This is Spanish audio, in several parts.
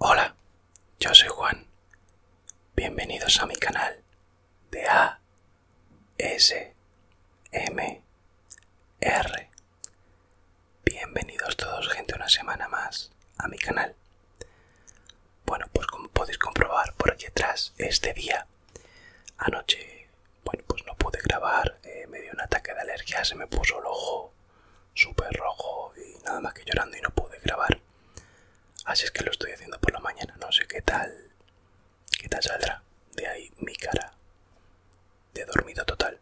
Hola, yo soy Juan. Bienvenidos a mi canal de ASMR. M R. Bienvenidos todos, gente, una semana más a mi canal. Bueno, pues como podéis comprobar por aquí atrás, este día, anoche bueno pues no pude grabar eh, me dio un ataque de alergia se me puso el ojo súper rojo y nada más que llorando y no pude grabar así es que lo estoy haciendo por la mañana no sé qué tal qué tal saldrá de ahí mi cara de dormido total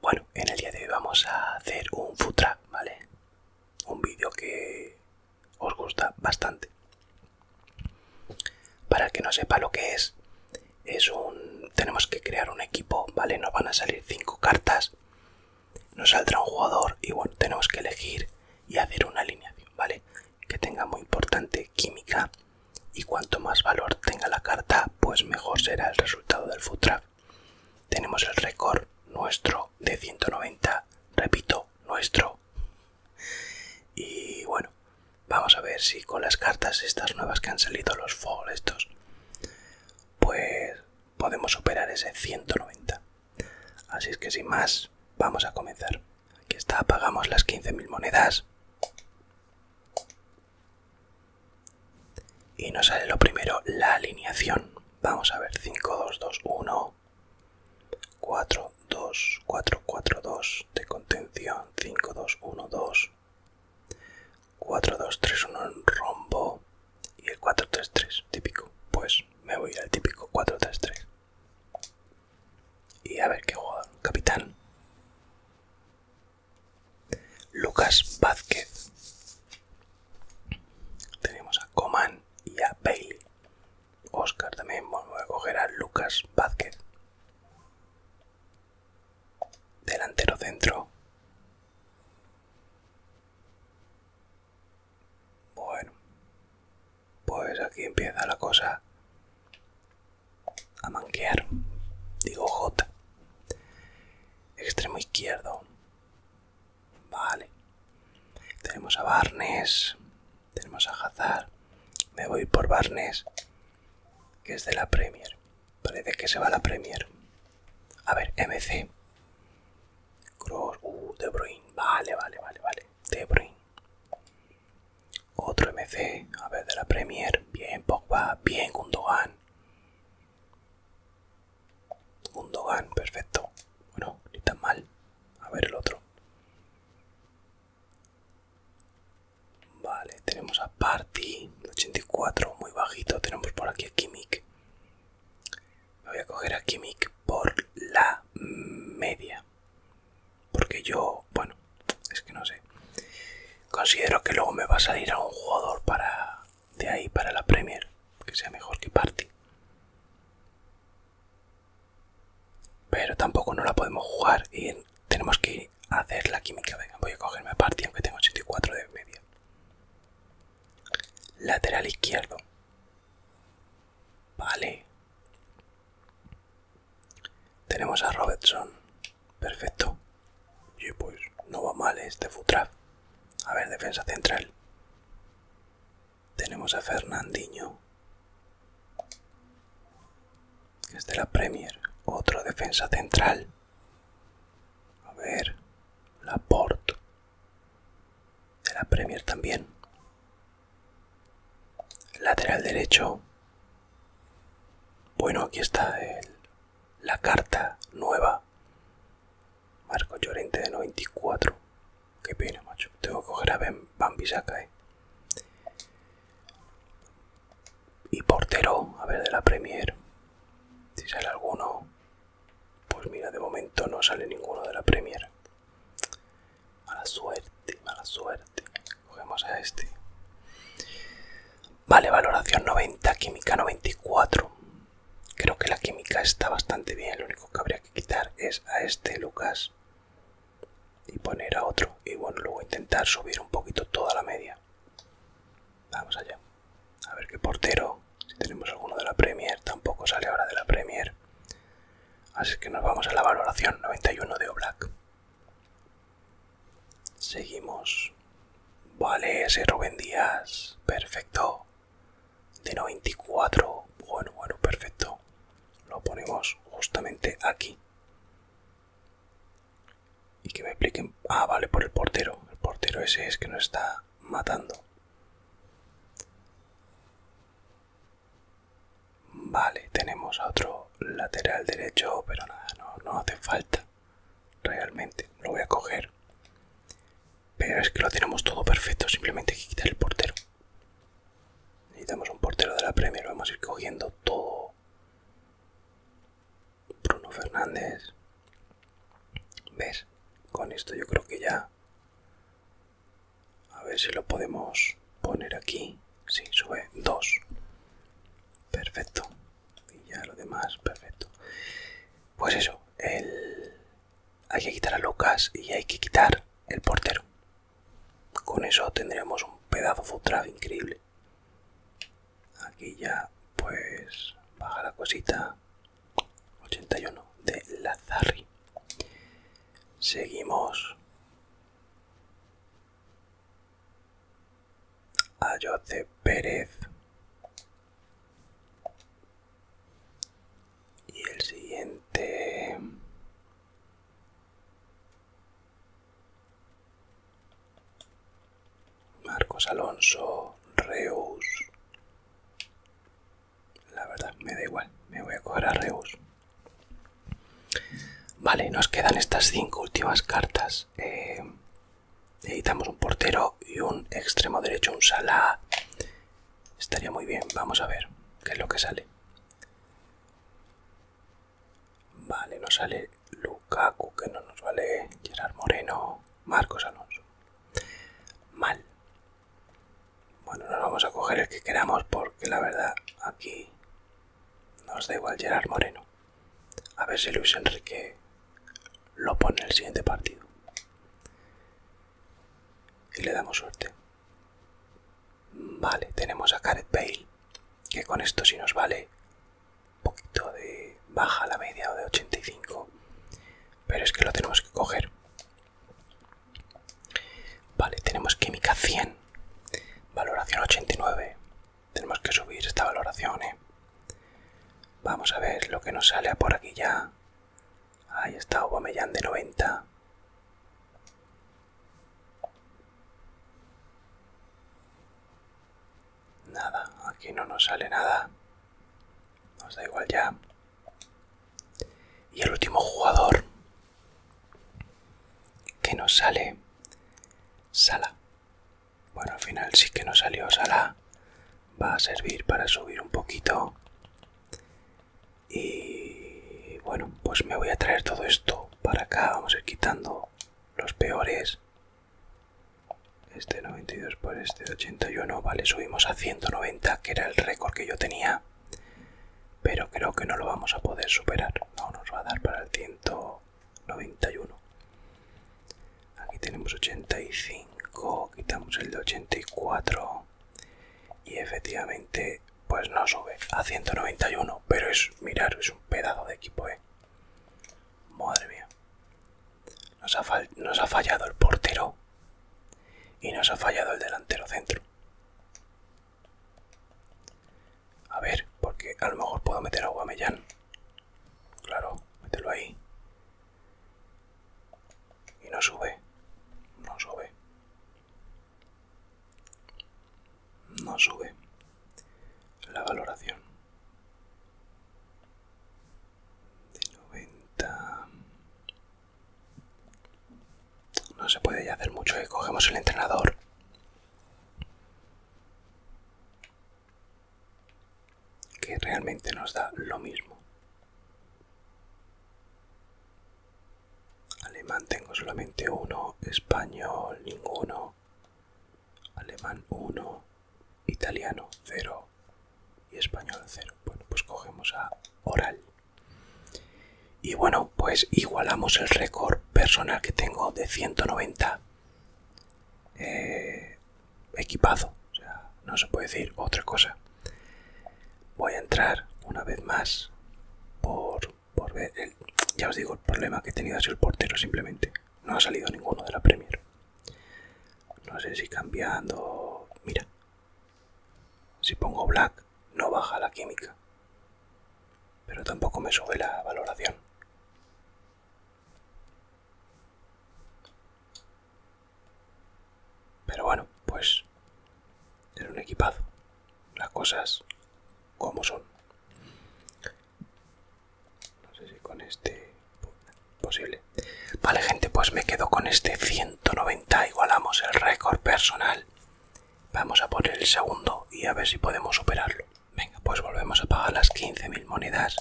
bueno en el día de hoy vamos a hacer un futra vale un vídeo que os gusta bastante para el que no sepa lo que es, es un. Tenemos que crear un equipo, ¿vale? Nos van a salir 5 cartas, nos saldrá un jugador y bueno, tenemos que elegir y hacer una alineación, ¿vale? Que tenga muy importante química y cuanto más valor tenga la carta, pues mejor será el resultado del food Tenemos el récord nuestro de 190, repito, nuestro y bueno, vamos a ver si con las cartas estas nuevas que han salido, los fall estos, pues podemos superar ese 190. Así es que sin más, vamos a comenzar. Aquí está, apagamos las 15.000 monedas. Y nos sale lo primero, la alineación. Vamos a ver, 5, 2, 2, 1, 4, 2, 4, 4, 2 de contención, 5, 2, 1, 2, 4, 2, 3, 1 en rombo y el 4, 3, 3, típico. Pues me voy al típico 4, 3, 3. Y a ver qué jugador, capitán. Lucas Vázquez. Tenemos a Coman y a Bailey. Oscar también, bueno, voy a coger a Lucas Vázquez delantero centro bueno pues aquí empieza la cosa a manquear digo J extremo izquierdo vale tenemos a Barnes tenemos a Hazard. Me voy por Barnes, que es de la Premier. Parece que se va la Premier. A ver, MC. Cross. Uh, de Bruyne. Vale, vale, vale, vale. De Bruyne. Otro MC. A ver, de la Premier. Bien, Pogba. Bien, Gundogan. Gundogan, perfecto. Bueno, ni tan mal. A ver el otro. Vale, tenemos a Party, 84, muy bajito. Tenemos por aquí a Kimik. Me voy a coger a Kimik por la media. Porque yo, bueno, es que no sé. Considero que luego me va a salir a un jugador para de ahí para la Premier, que sea mejor que Party. Pero tampoco no la podemos jugar y tenemos que hacer la química. Venga, voy a cogerme partido aunque tengo 84 de media. Lateral izquierdo. Vale. Tenemos a Robertson. Perfecto. Y pues no va mal este Futraf. A ver, defensa central. Tenemos a Fernandinho. Este es de la Premier, otro defensa central. A ver, la Port, de la Premier también. Lateral derecho. Bueno, aquí está el, la carta nueva. Marco Llorente de 94. que pena, macho. Tengo que coger a Bambi Saca, eh y portero, a ver de la Premier. Si sale alguno, pues mira, de momento no sale ninguno de la Premier. Mala suerte, mala suerte. Cogemos a este. Vale, valoración 90, química 94. Creo que la química está bastante bien, lo único que habría que quitar es a este Lucas y poner a otro y bueno luego intentar subir un poquito toda la media vamos allá a ver qué portero si tenemos alguno de la premier tampoco sale ahora de la premier así que nos vamos a la valoración 91 de Oblak seguimos vale ese Rubén Díaz perfecto de 94 bueno bueno perfecto lo ponemos justamente aquí y que me expliquen... Ah, vale, por el portero. El portero ese es que nos está matando. Vale, tenemos otro lateral derecho, pero nada, no, hace falta. Realmente, lo voy a coger. Pero es que lo tenemos todo perfecto, simplemente hay que quitar el portero. Necesitamos un portero de la Premier, vamos a ir cogiendo todo Bruno Fernández. ¿Ves? Con esto yo creo que ya... A ver si lo podemos poner aquí. Sí, sube 2. Perfecto. Y ya lo demás, perfecto. Pues eso, hay que quitar a Lucas y hay que quitar el portero. Con eso tendremos un pedazo de increíble. Aquí ya, pues, baja la cosita. 81 de Lazarri Seguimos. A Josep Pérez. Y el siguiente Marcos Alonso, Reus. La verdad, me da igual, me voy a coger a Reus. Vale, nos quedan estas cinco últimas cartas. Eh, necesitamos un portero y un extremo derecho, un sala. Estaría muy bien, vamos a ver qué es lo que sale. Vale, nos sale Lukaku, que no nos vale. Gerard Moreno, Marcos Alonso. Mal. Bueno, nos vamos a coger el que queramos porque la verdad aquí nos da igual Gerard Moreno. A ver si Luis Enrique lo pone el siguiente partido. Y le damos suerte. Vale, tenemos a Caret Bale, que con esto sí nos vale un poquito de baja la media o de 85 pero es que lo tenemos que coger vale tenemos química 100 valoración 89 tenemos que subir esta valoración ¿eh? vamos a ver lo que nos sale por aquí ya ahí está Bomellán de 90 Nada, aquí no nos sale nada. Nos da igual ya. Y el último jugador que nos sale, Sala. Bueno, al final sí que nos salió Sala. Va a servir para subir un poquito. Y bueno, pues me voy a traer todo esto para acá. Vamos a ir quitando los peores. Este 92 por este 81, vale, subimos a 190, que era el récord que yo tenía. Pero creo que no lo vamos a poder superar. No, nos va a dar para el 191. Aquí tenemos 85, quitamos el de 84. Y efectivamente, pues no sube a 191. Pero es, mirar, es un pedazo de equipo, eh. Madre mía. Nos ha, fallado el portero y nos ha fallado el delantero centro. A ver, porque a lo mejor puedo meter a Mellán. Claro, mételo ahí. Y no sube. No sube no sube la valoración de 90 no se puede ya hacer mucho que ¿eh? cogemos el entrenador que realmente nos da lo mismo alemán tengo solamente uno español ninguno alemán 1, italiano 0 y español 0. Bueno, pues cogemos a oral. Y bueno, pues igualamos el récord personal que tengo de 190 eh, equipado. O sea, no se puede decir otra cosa. Voy a entrar una vez más por por ya os digo el problema que he tenido ha el portero simplemente no ha salido ninguno de la Premier no sé si cambiando mira si pongo black no baja la química pero tampoco me sube la valoración pero bueno pues es un equipazo las cosas como son no sé si con este... Posible. Vale, gente, pues me quedo con este 190. Igualamos el récord personal. Vamos a poner el segundo y a ver si podemos superarlo. Venga, pues volvemos a pagar las 15.000 monedas.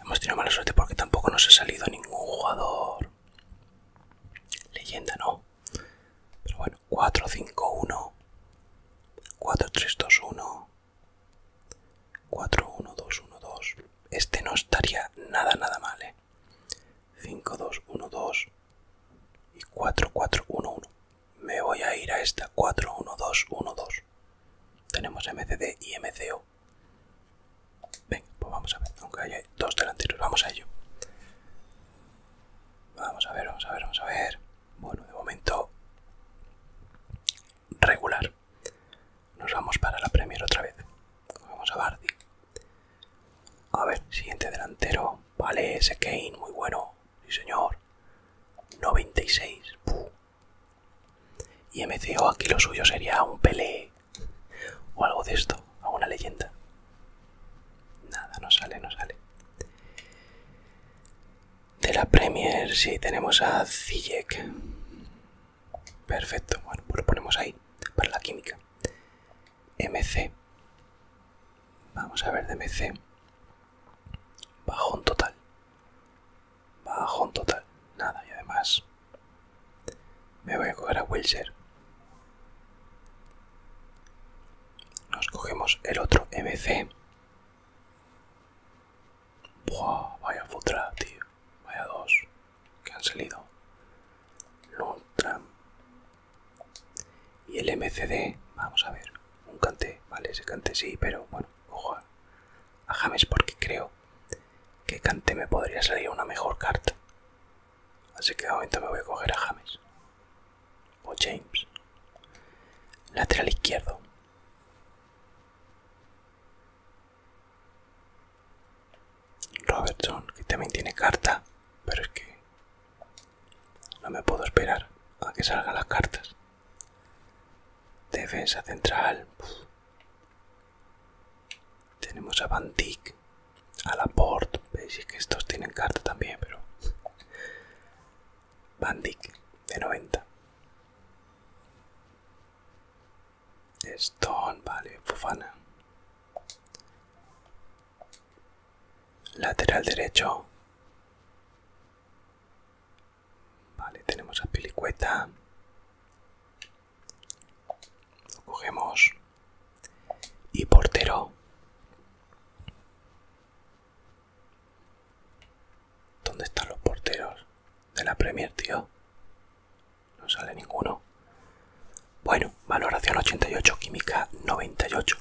Hemos tenido mala suerte porque tampoco nos ha salido ningún jugador. Leyenda, ¿no? Pero bueno, 4-5-1. 4-3-2-1. 4-1-2-1-2. Este no estaría nada, nada mal, ¿eh? 5-2-1-2 y 4-4-1-1. Me voy a ir a esta 4-1-2-1-2. Tenemos MCD y MCO. Venga, pues vamos a ver. Aunque haya dos delanteros, vamos a ello. Vamos a ver, vamos a ver, vamos a ver. Bueno, de momento regular. Nos vamos para la Premier otra vez. Vamos a Bardi. A ver, siguiente delantero. Vale, ese Kane, muy bueno. Sí, señor. 96. Y MCO aquí lo suyo sería un Pelé o algo de esto, a una leyenda. Nada, no sale, no sale de la Premier, si tenemos a Zijek. Perfecto, bueno, pues lo ponemos ahí, para la química. MC. Vamos a ver de MC. Bajón total. Bajón total. Nada, y además me voy a coger a Wilser, Nos cogemos el otro MC vaya futra, tío. Vaya dos que han salido. Lundram Y el MCD, vamos a ver. Un cante, vale, ese cante sí, pero bueno, ojo a, a James porque creo que cante me podría salir una mejor carta. Así que de momento me voy a coger a James o James. Lateral izquierdo. Robertson, que también tiene carta, pero es que no me puedo esperar a que salgan las cartas. Defensa central. Tenemos a Van Dijk, a Laporte. Veis que estos tienen carta también, pero Bandic de 90. Stone, vale, bufana, Lateral derecho. Vale, tenemos a Pelicueta. Lo cogemos. Y portero. ¿Dónde están los porteros de la Premier, tío? No sale ninguno. Bueno, valoración 88, química 98.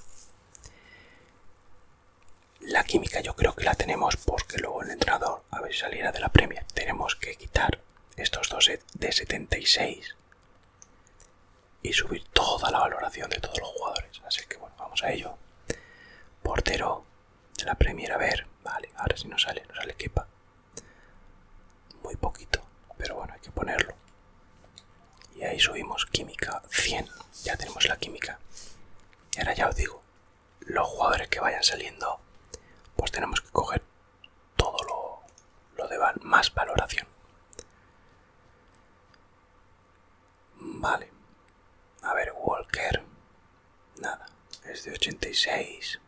La química yo creo que la tenemos porque luego el entrenador, a ver si saliera de la Premier, tenemos que quitar estos dos de 76 y subir toda la valoración de todos los jugadores. Así que bueno, vamos a ello. Portero la primera a ver, vale, ahora si no sale, no sale quepa Muy poquito, pero bueno, hay que ponerlo. Y ahí subimos química 100, ya tenemos la química. Y ahora ya os digo, los jugadores que vayan saliendo, pues tenemos que coger todo lo de más valoración. Vale. A ver, Walker. Nada, es de 86.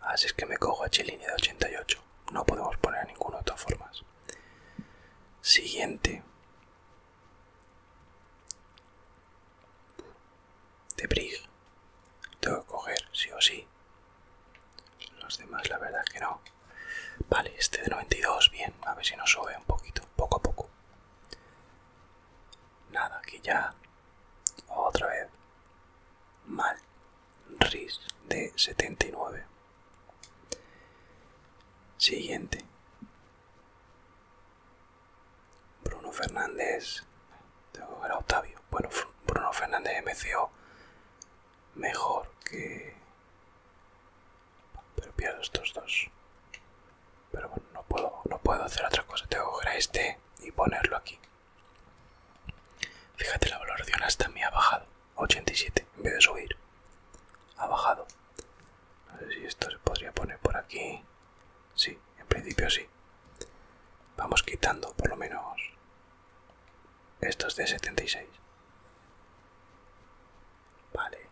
Así es que me cojo a Chilini de 88. No podemos poner a ninguno de todas formas. Siguiente. De Brig. Tengo que coger, sí o sí. Los demás, la verdad que no. Vale, este de 92, bien. A ver si nos sube un poquito, poco a poco. Nada, aquí ya. Otra vez. Mal. RIS de 79. Siguiente. Bruno Fernández. Tengo que ver a Octavio. Bueno, Bruno Fernández MCO. Mejor que pero estos dos. Pero bueno, no puedo, no puedo hacer otra cosa. Tengo que coger a este y ponerlo aquí. Fíjate, la valoración hasta me ha bajado. 87, en vez de subir. Ha bajado. No sé si esto se podría poner por aquí. Sí, en principio sí. Vamos quitando por lo menos estos de 76. Vale,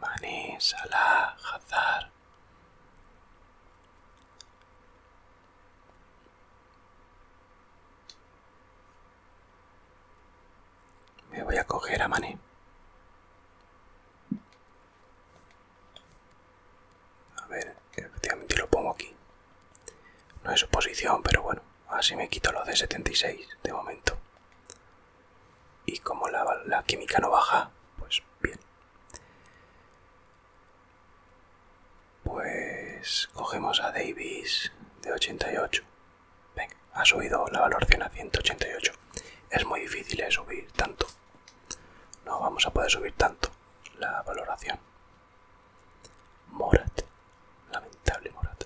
Mané Salah Hazard. Me voy a coger a Mané. A ver, efectivamente lo pongo aquí. No es su posición, pero bueno, así me quito lo de 76 de momento. Y como la, química no baja, pues bien. Pues cogemos a Davis de 88. Venga, ha subido la valoración a 188. Es muy difícil eh, subir tanto. No vamos a poder subir tanto la valoración. Morat. Lamentable Morat.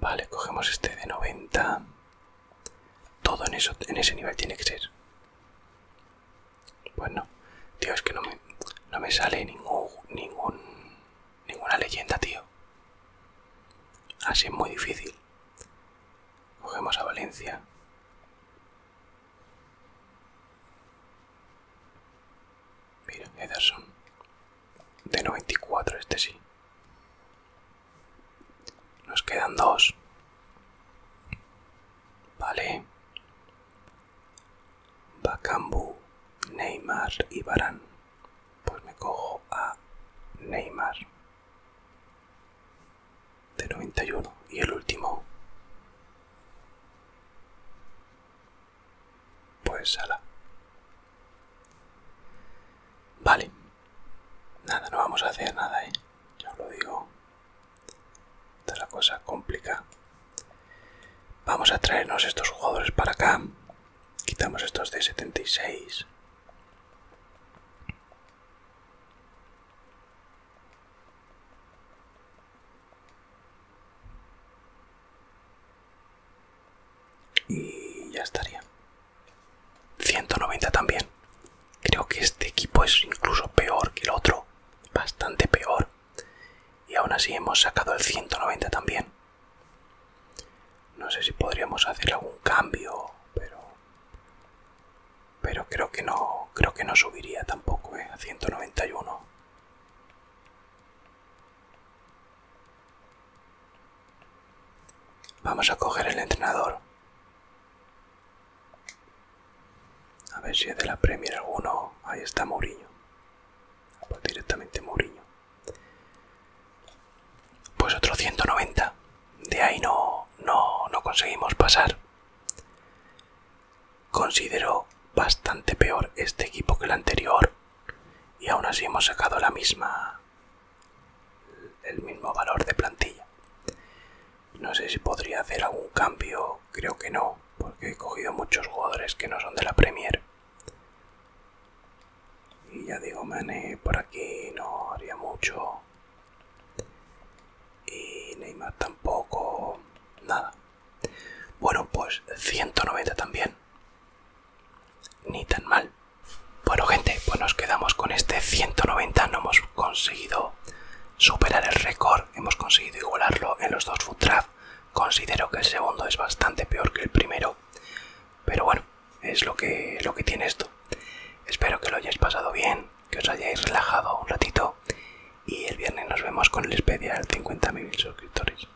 Vale, cogemos este de 90. Todo en, eso, en ese nivel tiene que ser. Bueno, pues tío, es que no me, sale ningún, ningún, ninguna leyenda, tío. Así es muy difícil. Cogemos a Valencia. Mira, Ederson de 94 este sí nos quedan dos vale Bacambu Neymar y Barán pues me cojo a Neymar de 91 y el último pues ala vale Nada, no vamos a hacer nada, Ya lo digo. Esta la cosa complicada. Vamos a traernos estos jugadores para acá. Quitamos estos de 76. Y ya estaría. 190 también. Creo que este equipo es incluso peor que el otro. Bastante peor. Y aún así hemos sacado el 190 también. No sé si podríamos hacer algún cambio, pero... Pero creo que no, creo que no subiría tampoco, eh, A 191. Vamos a coger el entrenador. A ver si es de la Premier alguno. Ahí está Mourinho. Pues directamente Mourinho. Pues otro 190. De ahí no, no, no conseguimos pasar. Considero bastante peor este equipo que el anterior. Y aún así hemos sacado la misma el mismo valor de plantilla. No sé si podría hacer algún cambio, creo que no, porque he cogido muchos jugadores que no son de la Premier. Y ya digo, Mané por aquí no haría mucho. Y Neymar tampoco, nada. Bueno, pues 190 también ni tan mal. Bueno gente, pues nos quedamos con este 190, no hemos conseguido superar el récord, hemos conseguido igualarlo en los dos foot Considero que el segundo es bastante peor que el primero, pero bueno, es lo que, lo que tiene esto. Espero que lo hayáis pasado bien, que os hayáis relajado un ratito y el viernes nos vemos con el especial 50.000 suscriptores.